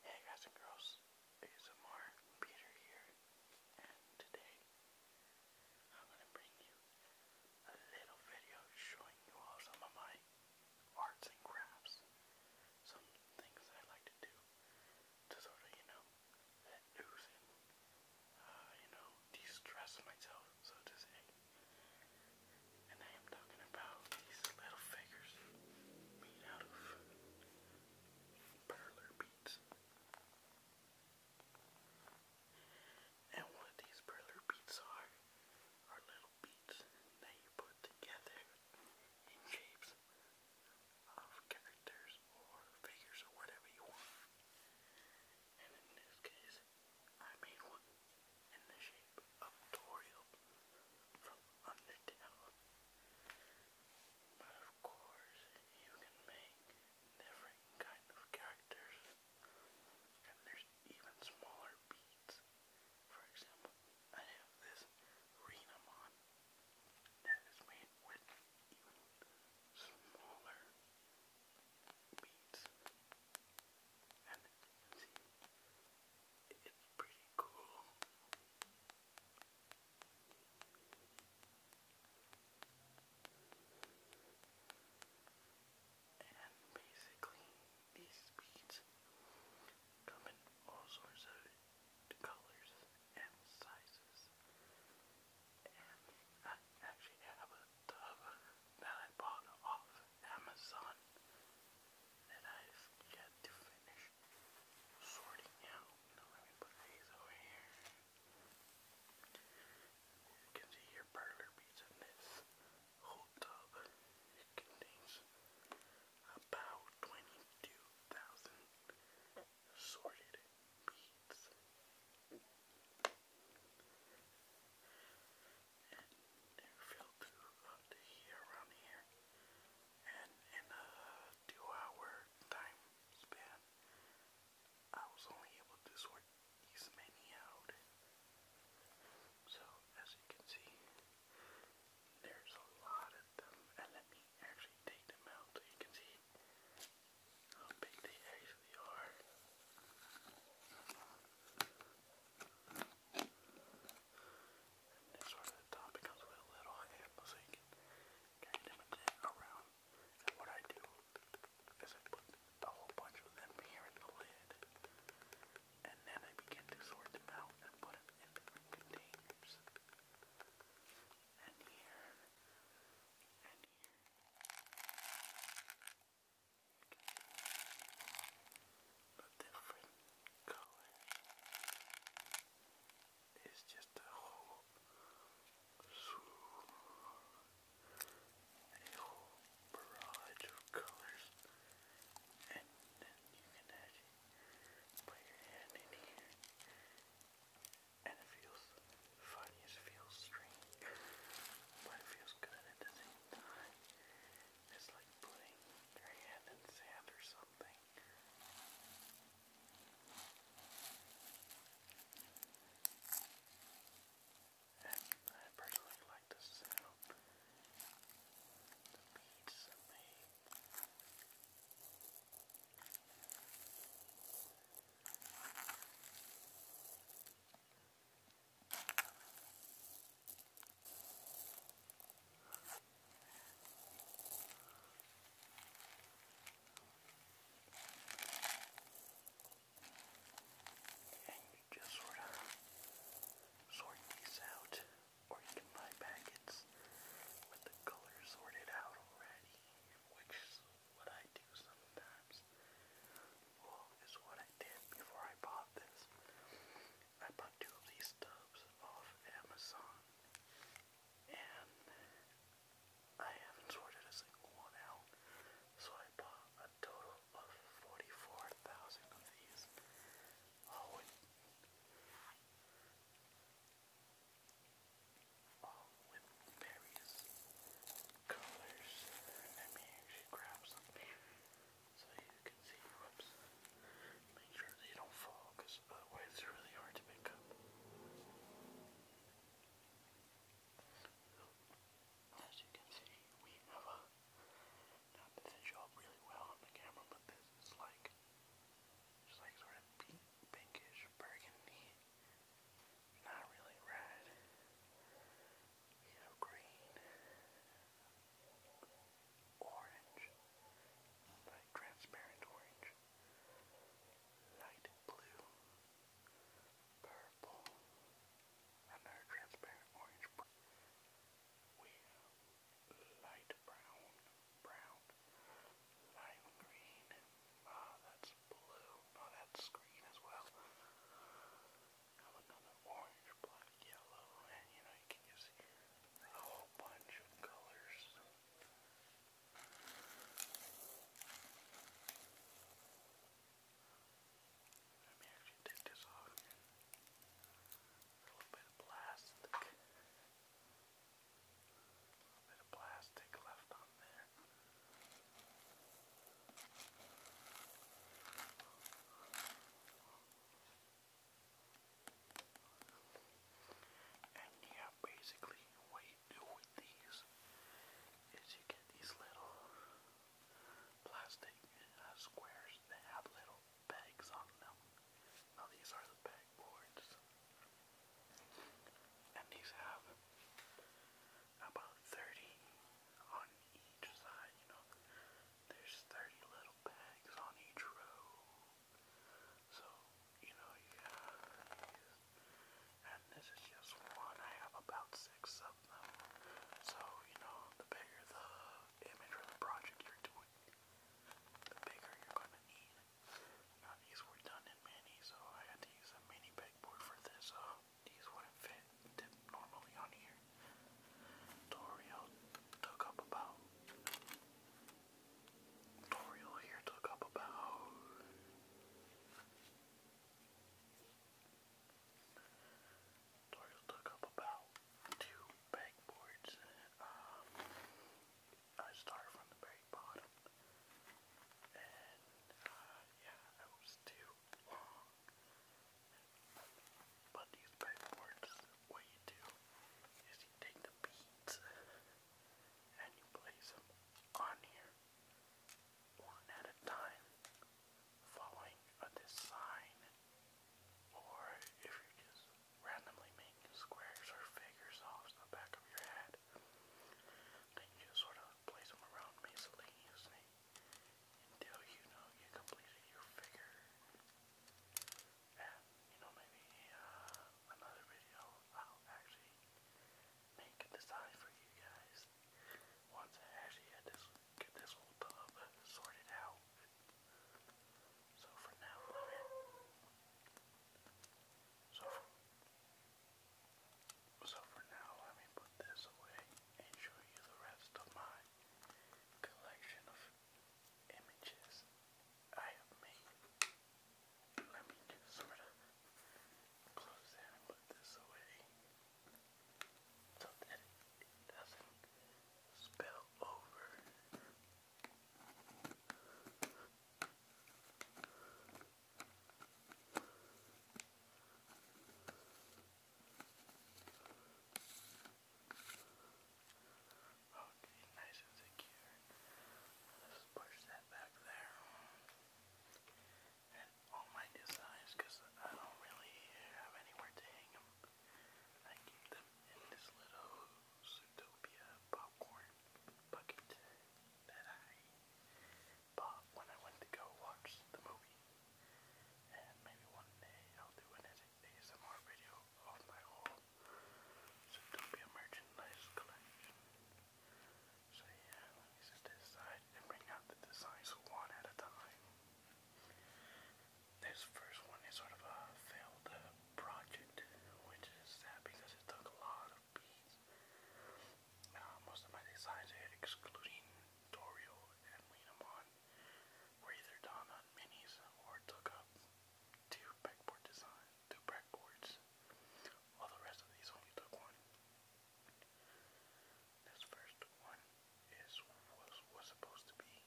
Hey guys and girls, ASMR Peter here, and today I'm gonna bring you a little video showing you all some of my arts and crafts, some things that I like to do to sort of, you know, let uh, you know, de-stress myself, so to say. And I am talking about these little figures made out of perler beads. And what these perler beads are, are little beads that you put together in shapes of characters or figures or whatever you want. And in this case, I made one in the shape escape from Undertale. But of course, you can make different kind of characters. And there's even smaller beats. For example, I have this Renamon that is made with even smaller beats. See, it's pretty cool. And basically, these beads come in all sorts of colors and sizes. And I actually have a tub that I bought off Amazon that I've yet to finish sorting out. Now let me put these over here. You can see your burger beats in this whole tub. It contains about 22,000 sorted beads and you up to here, around here. And in a two hour time span, I was only able to sort these many out. So, as you can see, there's a lot of them. And let me actually take them out so you can see how big they actually are. And this part of the top becomes with a little handle so you can kind of manage it around. And what I do is I put a whole bunch of them here in the lid. And then I begin to sort them out and put them in different containers. And here. And here. Okay a different color. It's just a whole whole barrage of colors, and then you can actually put your hand in here, and it feels funny, feels strange, but it feels good at the same time. It's like putting your hand in sand or something. And I personally like the sound the beats are made. And you just sort of sort these out, or you can buy packets with the color sorted out already, which is what I do sometimes. Well, is what I did before I bought this. I bought two of these tubs off Amazon, and I haven't sorted a single one out, so I bought a total of 44,000 of these. Oh, all oh, with various colors. Let me actually grab some so you can see your lips. Make sure they don't fall otherwise they really hard to pick up. as you can see, we have a, not that show up really well on the camera, but this is like, just like sort of pinkish burgundy, not really red you know, green, orange, like transparent orange, light blue, purple, another transparent orange, we have light brown, brown, lime green, ah, that's blue, oh, that's green as well avocado, orange, black, yellow, and you know, you can just a whole bunch of colors. Let me actually take this off here. A little bit of plastic. A little bit of plastic left on there. And yeah, basically what you do with these is you get these little plastic uh, squares that have little pegs on them. Now these are the peg And these have about 30 on each side, you know. There's 30 little bags on each row. So, you know, you have these. And this is just one. I have about six of them. So, you know, the bigger the image or the project you're doing, the bigger you're going to need. Now, these were done in mini, so I had to use a mini pegboard for this. Uh, these wouldn't fit normally on here. Toriel took up about. Toriel here took up about. Toriel took up about two backboards. Um, I started from the very bottom. And, uh, yeah, I was two. But these pegboards, what you do is you take the beads and you place them on here one at a time, following a design, or if you're just randomly making squares or figures off the back of your head, then you sort of place them around basically using until you know you completed your figure. And, you know, maybe uh, another video I'll actually make a design for you guys once I actually get this, get this whole tub sorted out. So for now, So for, so for now, let me put this away and show you the rest of my collection of images I have made. Let me just sort of close that and put this away so that it doesn't spill over. Okay, nice and secure. Let's push that back there. And all my designs, because I don't really have anywhere to hang them, I keep them in this little Zootopia popcorn bucket that I but when I went to go watch the movie, and maybe one day I'll do an ASMR video of my whole Zootopia merchandise collection. So yeah, let me set this and bring out the designs one at a time. This first one is sort of a failed uh, project, which is sad because it took a lot of beats. Uh, most of my designs excluding Doriel and Lienamon were either done on minis or took up two backboard design two backboards, while the rest of these only took one. This first one is was supposed to be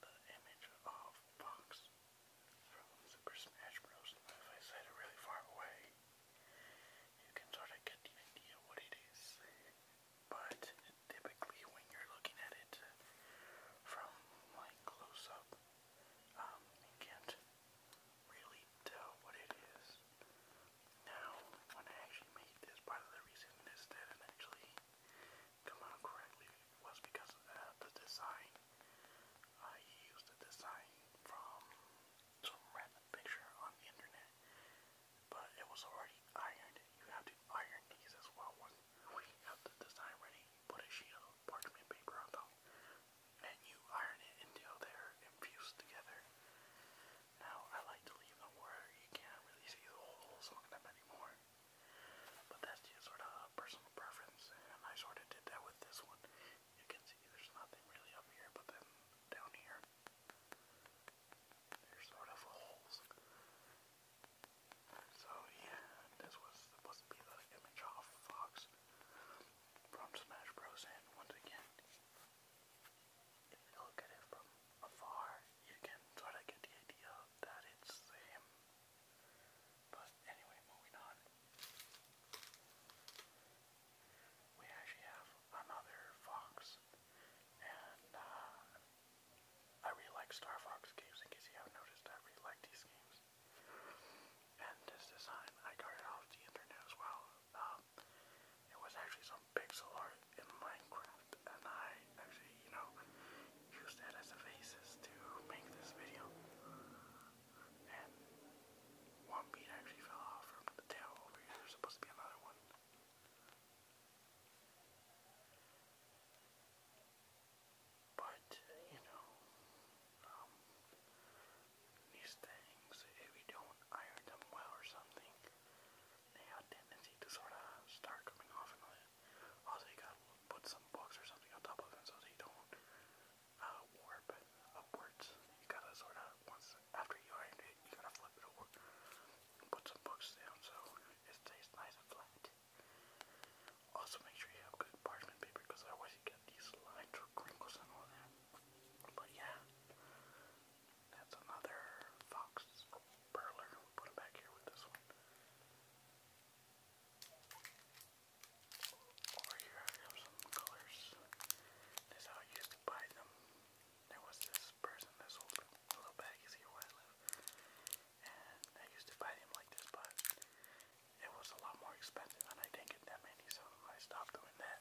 the image of Fox from Super Smash Bros. if I set it really far away, you can sort of get the idea what it is but typically when you're looking at it uh, from like close up, um, you can't really tell what it is. Now, when I actually made this, part of the reason this didn't actually come out correctly was because the design. I used a design from some random picture on the internet but it was already ironed. You have to iron these as well. Once you have the design ready, you put a sheet of parchment paper on top and you iron it until they're infused together. Now, I like to leave them where you can't really see the holes on them anymore. But that's just sort of personal preference, and I sort of did that with this one. You can see there's nothing really up here, but then down here, they So yeah, this was supposed to be the image off Fox from Smash Bros. And once again, if you look at it from afar, you can sort of get the idea that it's him. But anyway, moving on we actually have another fox, and uh, I really like Star Fox games. In case you haven't noticed, I really like these games. And this design, I got it off the internet as well. Um, it was actually some pixel art in Minecraft, and I actually, you know, used that as a basis to make this video. And one bead actually fell off from the tail over here. There's supposed to be another one. But, you know, um, these things, if you don't iron them well or something, they have a tendency to sort of start coming off and all that. Also, you gotta put some books or something on top of them so they don't uh, warp upwards. You gotta sort of, once after you iron it, you gotta flip it over put some books down so it stays nice and flat. Also, make sure you have good parchment paper because otherwise you get these lines or crinkles and all that. But yeah, that's another fox burler. we put it back here with this one. Over here I have some colors. This is how I used buy them there was this person, this old little baggies here where I live, and I used to fight him like this, but it was a lot more expensive, and I didn't get that many, so I stopped doing that.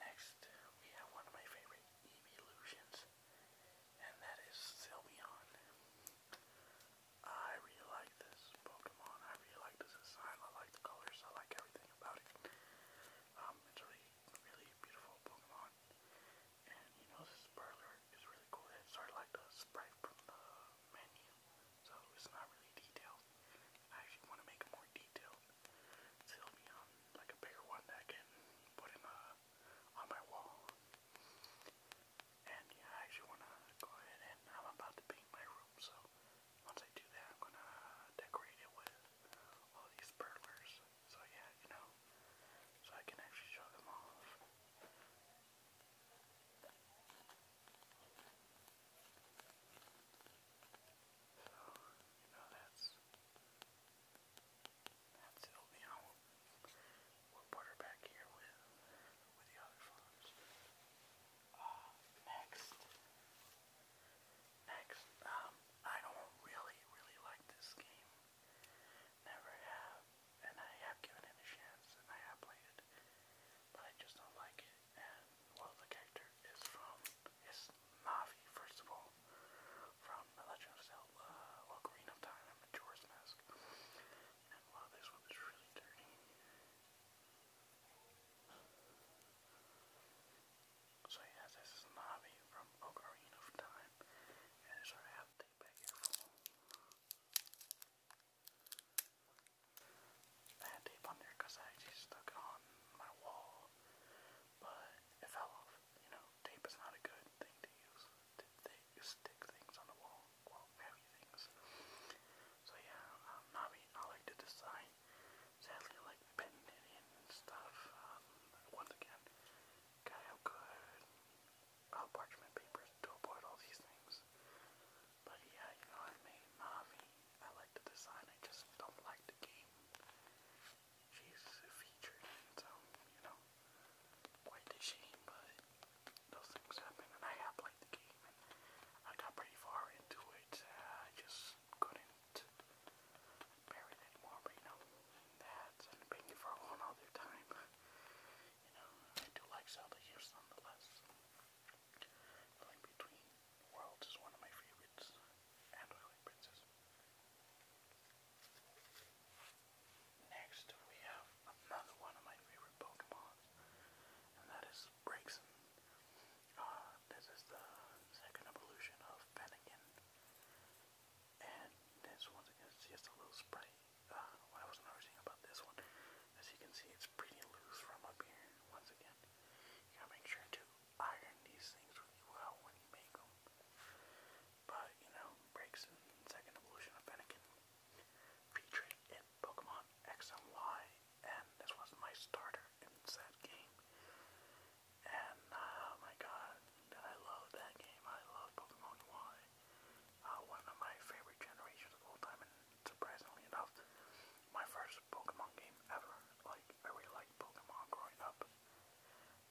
Next, we have one of my favorite evolutions, and that is Sylveon. I really like this Pokemon. I really like this design. I like the colors. I like everything about it. Um, it's really, really beautiful Pokemon. And you know, this burglar is really cool. It's sort like the sprite from the menu, so it's not really detailed. I actually want to make more detailed. So be um, like a bigger one that can put in a, uh, on my wall. And yeah, I actually want to go ahead and I'm about to paint my room, so once I do that, I'm gonna decorate it with all these burglars. So yeah, you know, so I can actually show them off. So, you know, that's, that's it'll be, you we'll put her back here with with the ah, next, next, um, I don't really, really like this game. Never have, and I have given it a chance, and I have played it, but I just don't like it. And well, the character is from is Navi, first of all, from Legend of Zelda, Ocarina of Time, and Majora's Mask. And while this one is really dirty, so yeah, this Navi from Ocarina of Time, and it's our update back here tape on there because I actually stuck it on my wall, but it fell off. You know, tape is not a good thing to use to stick things on the wall quote heavy things. So yeah, um, not me, not like to design. Sadly, I like pen knitting and stuff. Um, once again, got how good uh, parchment papers to avoid all these things. But yeah, you know I made Navi. I like the design. I just don't like the game. She's featured, so you know, quite a shame. But those things happen, and I have played the game, I got pretty far into it. I just couldn't bear it anymore, but you know, that's an opinion for one other time. You know, I do like Zelda games nonetheless. The Link Between Worlds is one of my favorites, and Twilight Princess. Next, we have another one of my favorite Pokemon, and that is Braixen. Uh, this is the second evolution of Fennekin, and this one is just a little sprite. Uh, what I was noticing about this one, as you can see, it's pretty loose from up here. Once again, you sure to iron these things really well when you make them. But you know, Braixen, second evolution of Fennekin featured in Pokemon X and Y, and this was my starter in that game. And uh, oh my god, did I love that game! I love Pokemon Y, uh, one of my favorite generations of all time, and surprisingly enough, my first Pokemon game ever. Like I really liked Pokemon growing up,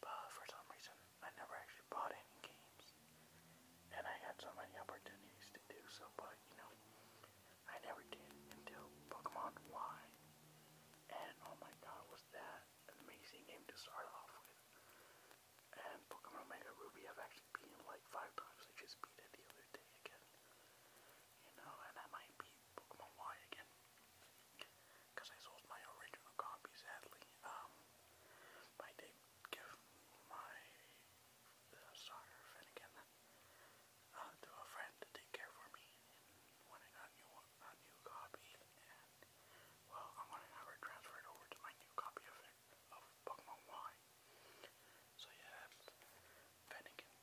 but for some reason, I never actually bought any games. And I had so many opportunities to do so, but you know, I never did until Pokemon Y. And oh my god, was that an amazing game to start off with. And Pokemon Omega Ruby I've actually beaten like five times. I just beat it the other day again. You know, and I might beat Pokemon Y again. Because I sold my original copy, sadly. Um, I did give my the soccer Finnegan to a friend to take care for me when I got new, a new copy and well I'm going to have it over to my new copy of of Pokemon Y. So yeah Finnegan.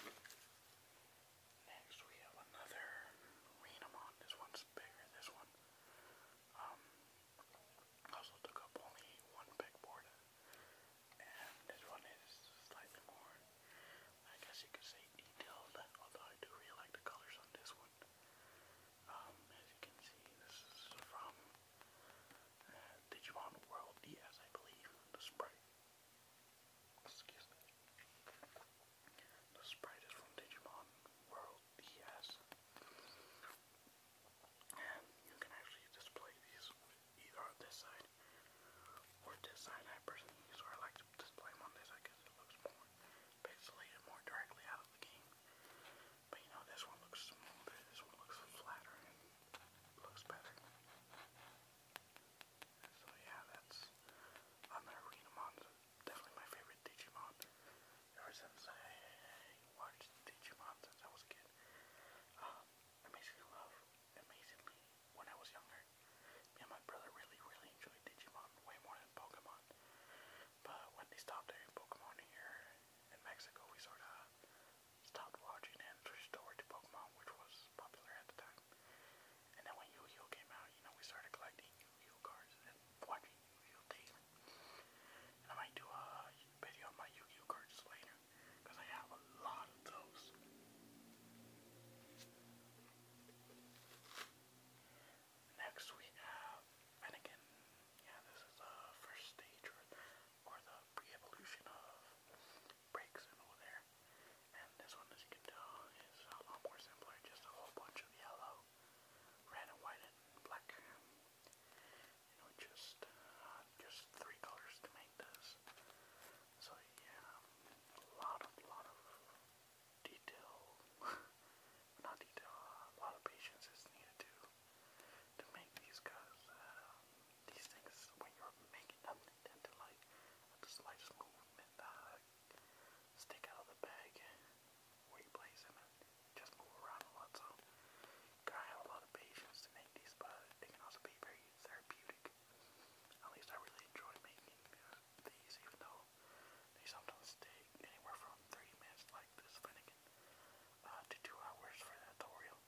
Next we have another Renamon. This one's bigger, this one. Um I also took up only one pegboard, and this one is slightly more, I guess you could say, detailed, although I do really like the colors on this one. Um, as you can see, this is from uh, Digimon World DS, I believe, the sprite. Excuse me. The sprite is from Digimon World DS. And you can actually display these either on this side or this side. I personally use where I like to display them on this side because it looks more pixelated, more directly out of the game. But you know, this one looks smoother, this one looks flatter, looks better. So yeah, that's definitely my favorite Digimon. Ever since I watched Digimon since I was a kid. Um, amazingly love, amazingly, when I was younger, me and my brother really, really enjoyed Digimon way more than Pokemon. But when they stopped airing Pokemon here in Mexico, we sort of stopped watching and switched over to Pokemon, which was popular at the time. And then when Yu-Gi-Oh came out, you know, we started collecting Yu-Gi-Oh cards and watching Yu-Gi-Oh daily. And I might do a video on my Yu-Gi-Oh cards later, I have a lot of those. Next we have, and yeah, this is the first stage or, the pre-evolution of Break Symbol there. And this one, as you can tell, is a lot more simpler, just a whole bunch of yellow red and white and black. You know, just uh, just three colors to make this. So yeah, a lot of lot of detail, not detail, a lot of patience is needed to to make these guys. Uh, these things when you're making them they tend to like the slightest uh, stick out of the bag where you place them and just move around a lot. So you gotta have a lot of patience to make these, but they can also be very therapeutic. At least I really enjoy making uh, these, even though they sometimes take anywhere from 30 minutes like this Finnegan uh, to 2 hours for the tutorial.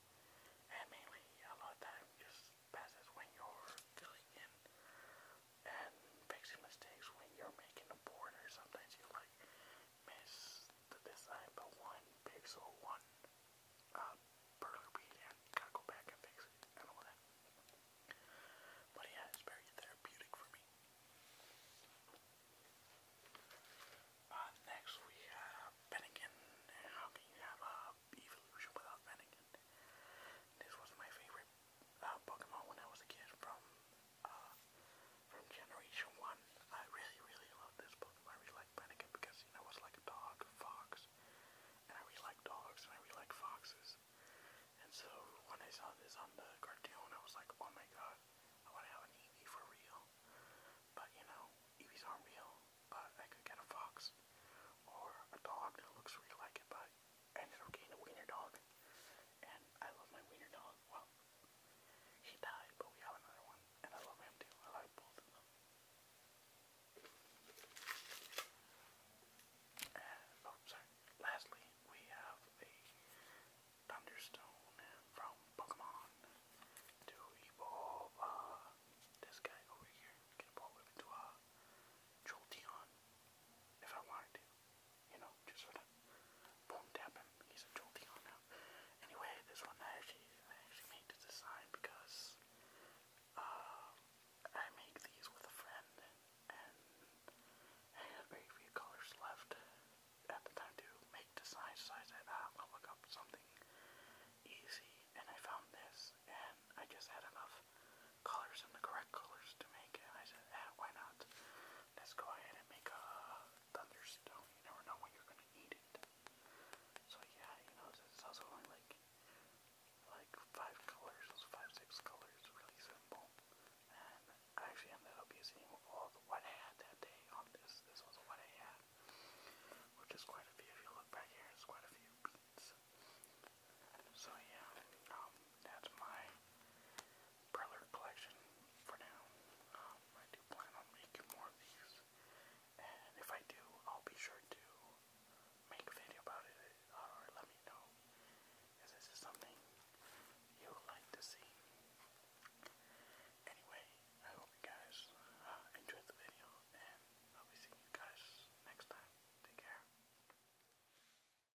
And mainly a lot of time just passes when you're filling in and fixing mistakes when you're making a board or sometimes you like miss the design by one pixel, one uh, gotta go back and fix it and all that. But yeah, it's very therapeutic for me. Uh, next we have Bennigan. How can you have a uh, Evolution without Bennigan? This was my favorite uh, Pokemon when I was a kid from uh, from Generation One. I really, really love this Pokemon. I really like Brenica because you know it's like a dog, a fox, and I really like dogs and I really like foxes. And so when I saw this on the cartoon, I was like, oh my god, I want to have an Eevee for real. But you know, Eevees aren't real. But I could get a fox or a dog that looks really like it, but and it'll a wiener dog. And I love my wiener dog. Well, he died, but we have another one. And I love him too. I like both And, oh, sorry. Lastly, we have a Thunderstone from Pokemon to evolve uh, this guy over here. Can evolve him into a Jolteon if I wanted to you know, just sort of boom tap him. He's a Jolteon now. Anyway, this one I actually I actually made this design because uh, I make these with a friend and I had very few colors left at the time to make designs, so I said, ah, I'll look up something easy and I found this and I just had enough colors and the correct colors to make it and I said, ah, why not? that. Let's go ahead and make a thunderstone. You never know when you're gonna need it. So yeah, you know, it's also only like like five colors, five, six colors, really simple. And I actually ended up using all the what I that day on this. This was what I had. Which is quite a few. If you look back here, it's quite a few beats. So yeah, um, that's my Preller collection for now. Um, I do plan on making more of these, and if I do, I'll be sure to make a video about it uh, or let me know if this is something you like to see. Anyway, I hope you guys uh, enjoyed the video, and I'll be seeing you guys next time. Take care.